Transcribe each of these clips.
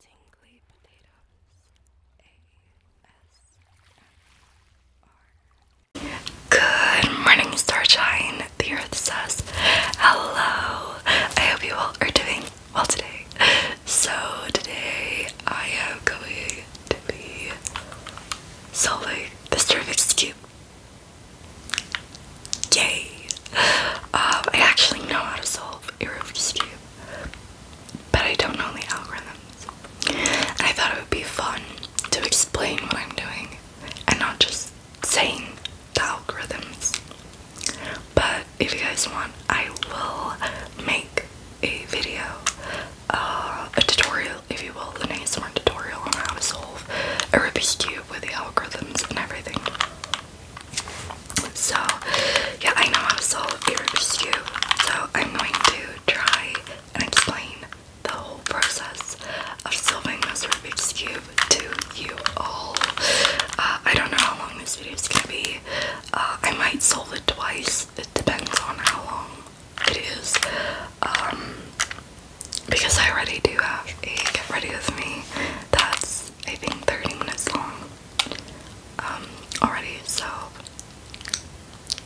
Tingly potatoes. Good morning, Starshine. The Earth says hello. I hope you all are doing well today. So today I am going to be solving this Rubik's cube. Yay! Um, I actually know how to solve a Rubik's cube but I don't know the algorithms. I thought it would be fun to explain what I'm doing and not just saying the algorithms. But if you guys want, I will make a video, uh, a tutorial, if you will, an ASMR tutorial on how to solve a Rubik's Cube with the algorithms and everything. So, yeah, I know how to solve a stew, so I'm going to try and explain the whole process of solving this Rubik's Cube to you all. Uh, I don't know how long this video is going to be. Uh, I might solve it twice. It depends on how long it is. Um, because I already do have a get ready with me that's I think 30 minutes long um, already, so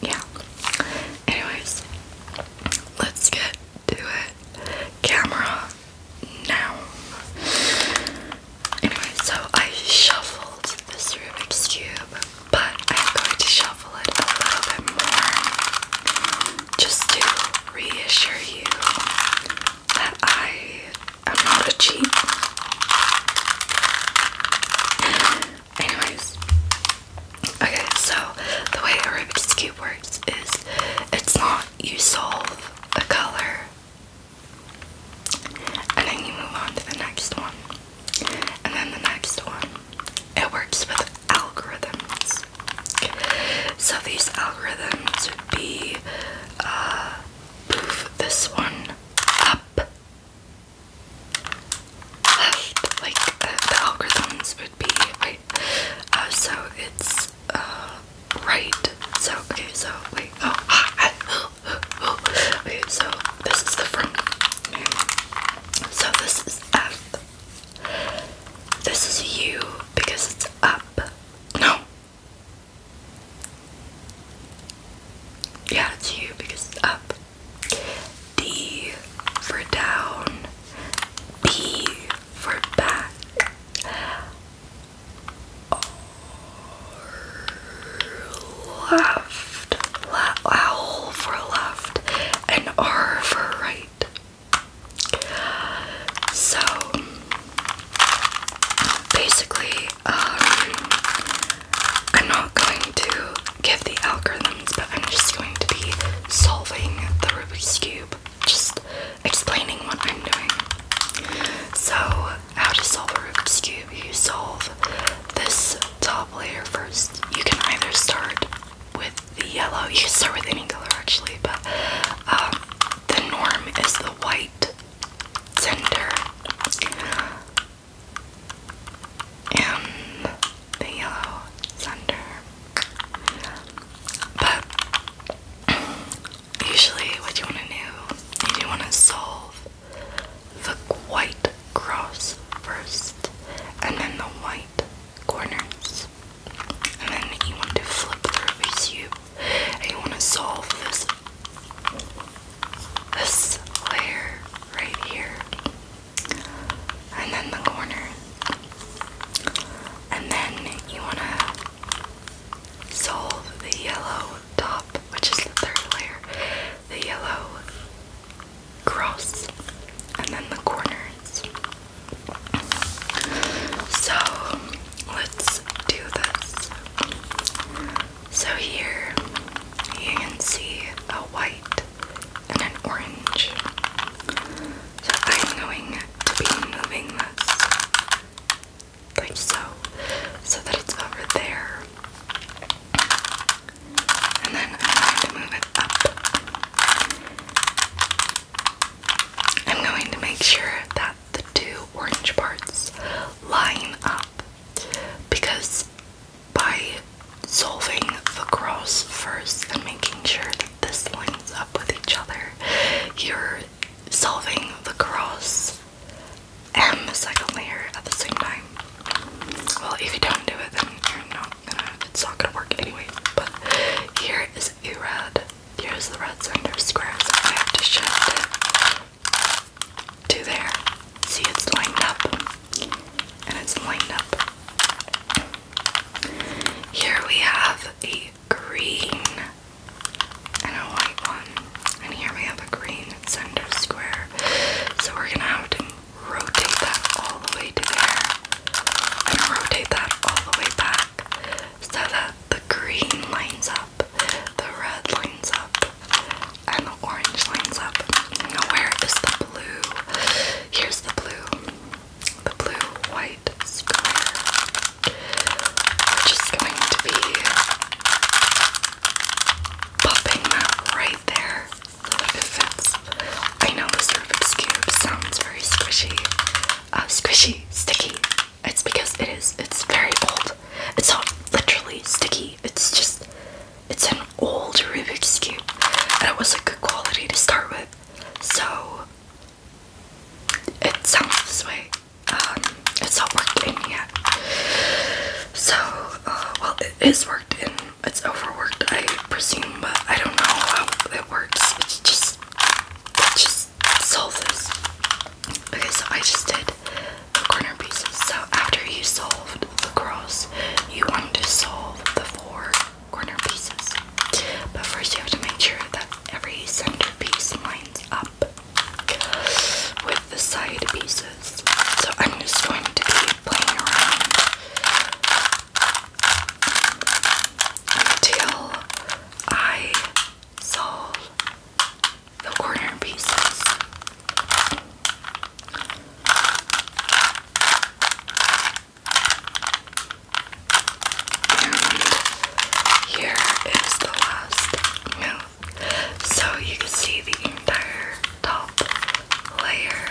yeah. Anyways, let's get to it. Camera now. Anyway, so I shuffled this Rubik's Cube, but I'm going to shuffle it a little bit more just to reassure you that I I'm not a cheat. Anyways, okay, so the way Rubik's Cube works is it's not you solve a color and then you move on to the next one, and then the next one. It works with algorithms. So these algorithms would be uh, move this one up, left, like uh, the algorithms would be right. Uh, so it's uh, right. So okay, so wait. Oh, ah, ah, oh, oh, oh. okay. So this is the front. Okay. So this is F. This is U because it's up. No, yeah, it's you because it's up. D for down. B for back. R left. La for left. And R for right. So basically, um, I'm not going to give the algorithms, but I'm just going to be solving the Rubik's Cube, just explaining what I'm doing. So, how to solve a Rubik's Cube? You solve this top layer first. You can either start with the yellow, you can start with any color actually, but um, the norm is the white center and the yellow center. But usually what you want to do is you want to solve the white cross first and then the white corners. And then you want to flip through a cube and you want to solve this this layer right here, and then the corner, and then you want to solve the yellow top, which is the third layer, the yellow cross, and then the corners. So Let's do this. So here you can see a white and an orange. So I'm going to be moving this like so, so that it's over there. And then I'm going to move it up. I'm going to make sure that the two orange parts line up because by solving the cross first and making sure that this lines up with each other, you're solving the cross and the second layer at the same time. Well, if you don't do it, then you it's not gonna work anyway. But here is a red, here's the red center square, so I have to shift it to there. See, it's lined up. And it's lined up. Here we have a green and a white one. And here we have a green center square. So we're going to have to rotate that all the way to there. And rotate that all the way back so that the green lines up, the red lines up, and the orange lines up. Now, where is the blue? Here's the blue, the blue white square, which is going to be popping that right there so that it I know this Rubik's Cube sounds very squishy, uh, squishy, sticky. It's because it is. It's very old. It's not literally sticky. It's just. It's an old Rubik's cube, and it was a good quality to start with. So it sounds this way. Um, it's not worked in yet. So, uh, well, it is worked in. It's overworked, I presume, but I don't know how it works. it's just solve this. Okay, so I just did the corner pieces. So after you solved the cross, you want to solve the four corner pieces. But first you have to make sure that every center piece lines up with the side pieces. So I'm just going to be playing around until I solve the corner pieces. And here is the last mouth. So you can see the entire top layer.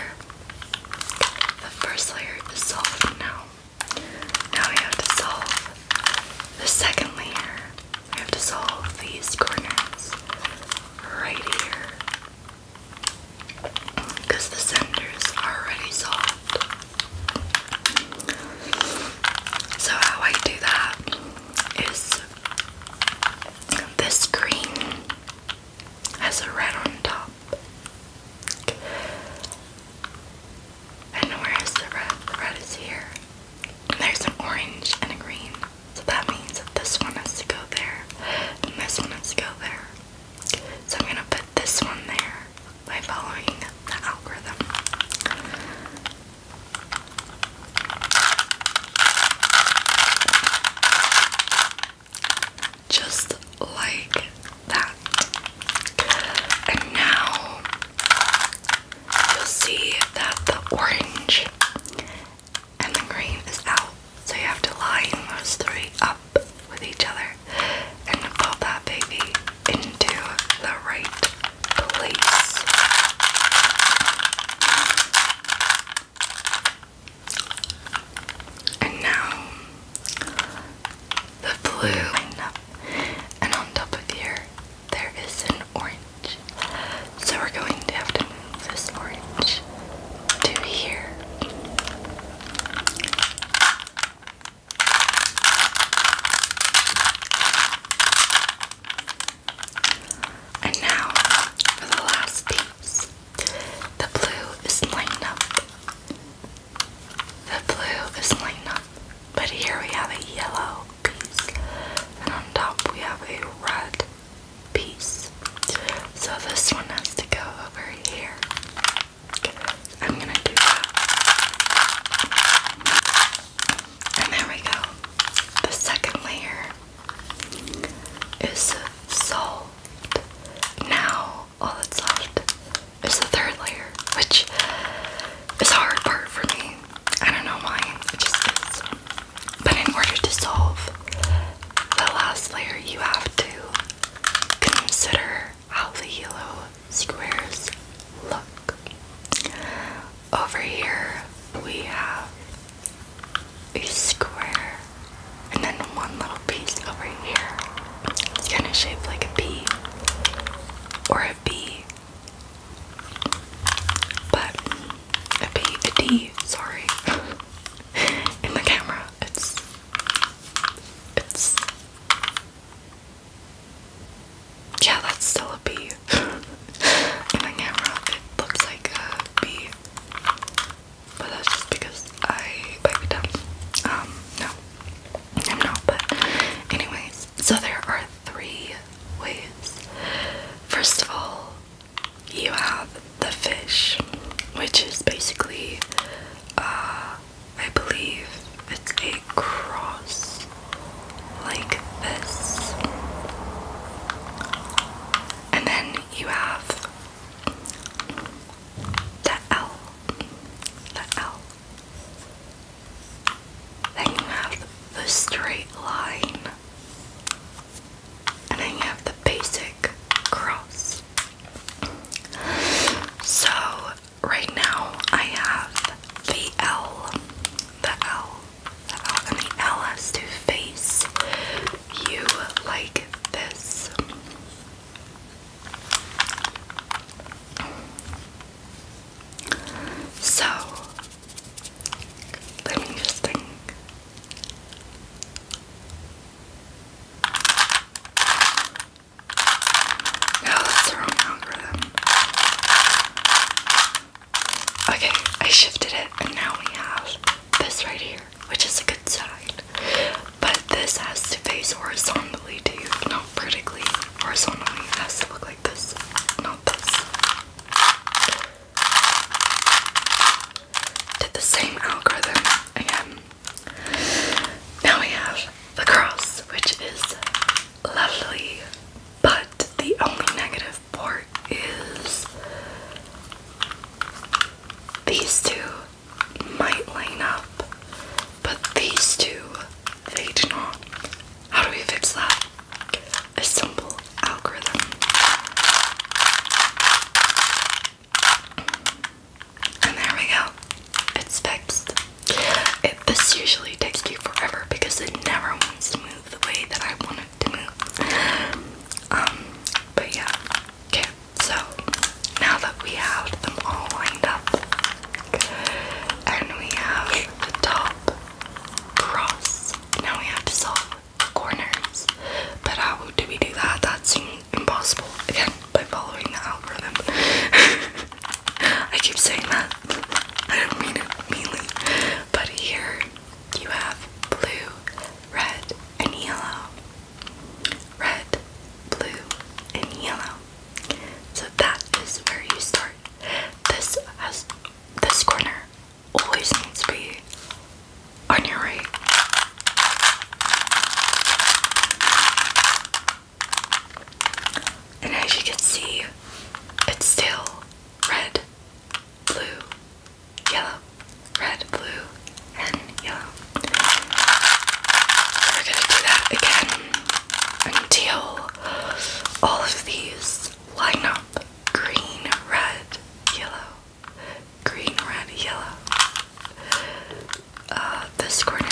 The first layer is solved now. Now we have to solve the second layer, I have to solve these corners right here because the centers are already solved. So, how I do that is this green has a red on top. And where is the red? The red is here. There's an orange and a green. So that means that this one has to go there, and this one has to go there. So I'm gonna put this one there by following the algorithm. Just like that. And now you'll see that the orange and the green is out. So you have to line those three up with each other and pop that baby into the right place. And now the blue and on top of here there is an orange. So we're going to have to move this orange to here. And now for the last piece. The blue is lined up. The blue is lined up. But here we have a yellow piece and on top we have a red piece so this one has to go over here I'm gonna do that and there we go the second layer is solved now all that's left is the third layer which is a hard part for me I don't know why, But in order to solve the last layer, you have to consider how the yellow squares look. Over here, we have a square and then one little piece over here. It's kind of shaped like a P or a B. But a B, a D, sorry. In the camera, it's it's yeah, that's still a B. In the camera, it looks like a B, but that's just because I pipe it down. Um, no, I'm not. But anyways, so there are three ways. First of all, you have the fish, which is basically, uh, I believe it's a cross like this. And then you have the L. The L. Then you have the straight line, and then you have the basic cross. So, right now I have the L, the L, the L, and the L has to face you like this. So, let me just think. No, oh, that's the wrong algorithm. Okay, I shifted it, and now we have this right here, which is a good sign. But this has to face horizontally to not vertically. Horizontally, has to look like this, not this. Did the same algorithm again. Now we have the cross, which is lovely, but the only negative part is these two might line up, but these two they do not. How do we fix that? A simple algorithm. And there we go. It's fixed. this usually takes me forever because it never wants to move the way that I want to move. Um, but yeah. Okay, so now that we have them all lined up, and we have the top cross. Now we have to solve the corners. But how do we do that? That seems impossible. Again, by following the algorithm. I keep saying that. I don't mean it meanly. But here you have blue, red, and yellow. Red, blue, and yellow. So that is where you start this this corner always needs to be on your right. And as you can see, it's still red, blue, yellow, red, blue, and yellow. We're gonna do that again until all of these line up green, red, yellow, green, red, yellow. Uh, this corner,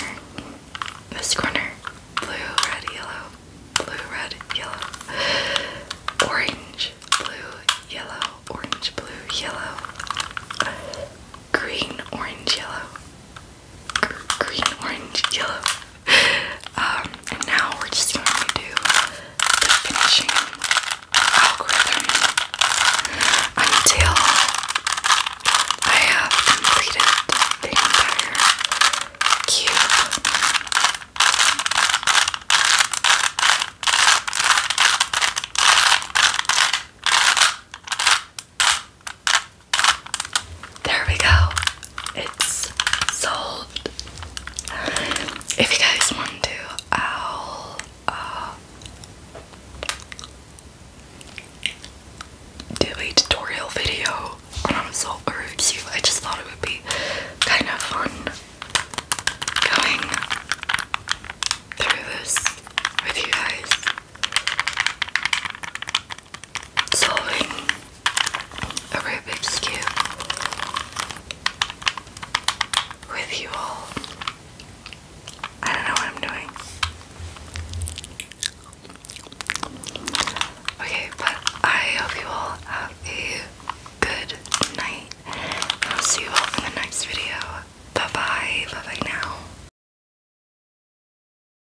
this corner, blue, red, yellow, blue, red, yellow, orange, blue, yellow, orange, blue, yellow, green, orange, yellow, green, orange, yellow. Um, and now we're just going to do the finishing algorithm until I have completed the entire cube. There we go. It's solved. If you guys want to, I'll uh, do a tutorial video on how I just thought it would be kind of fun going through this with you guys solving a Rubik's Cube with you all. I don't know what I'm doing. Okay, but I hope you all have a good night. I'll see you all in the next video. Bye bye. Bye bye now.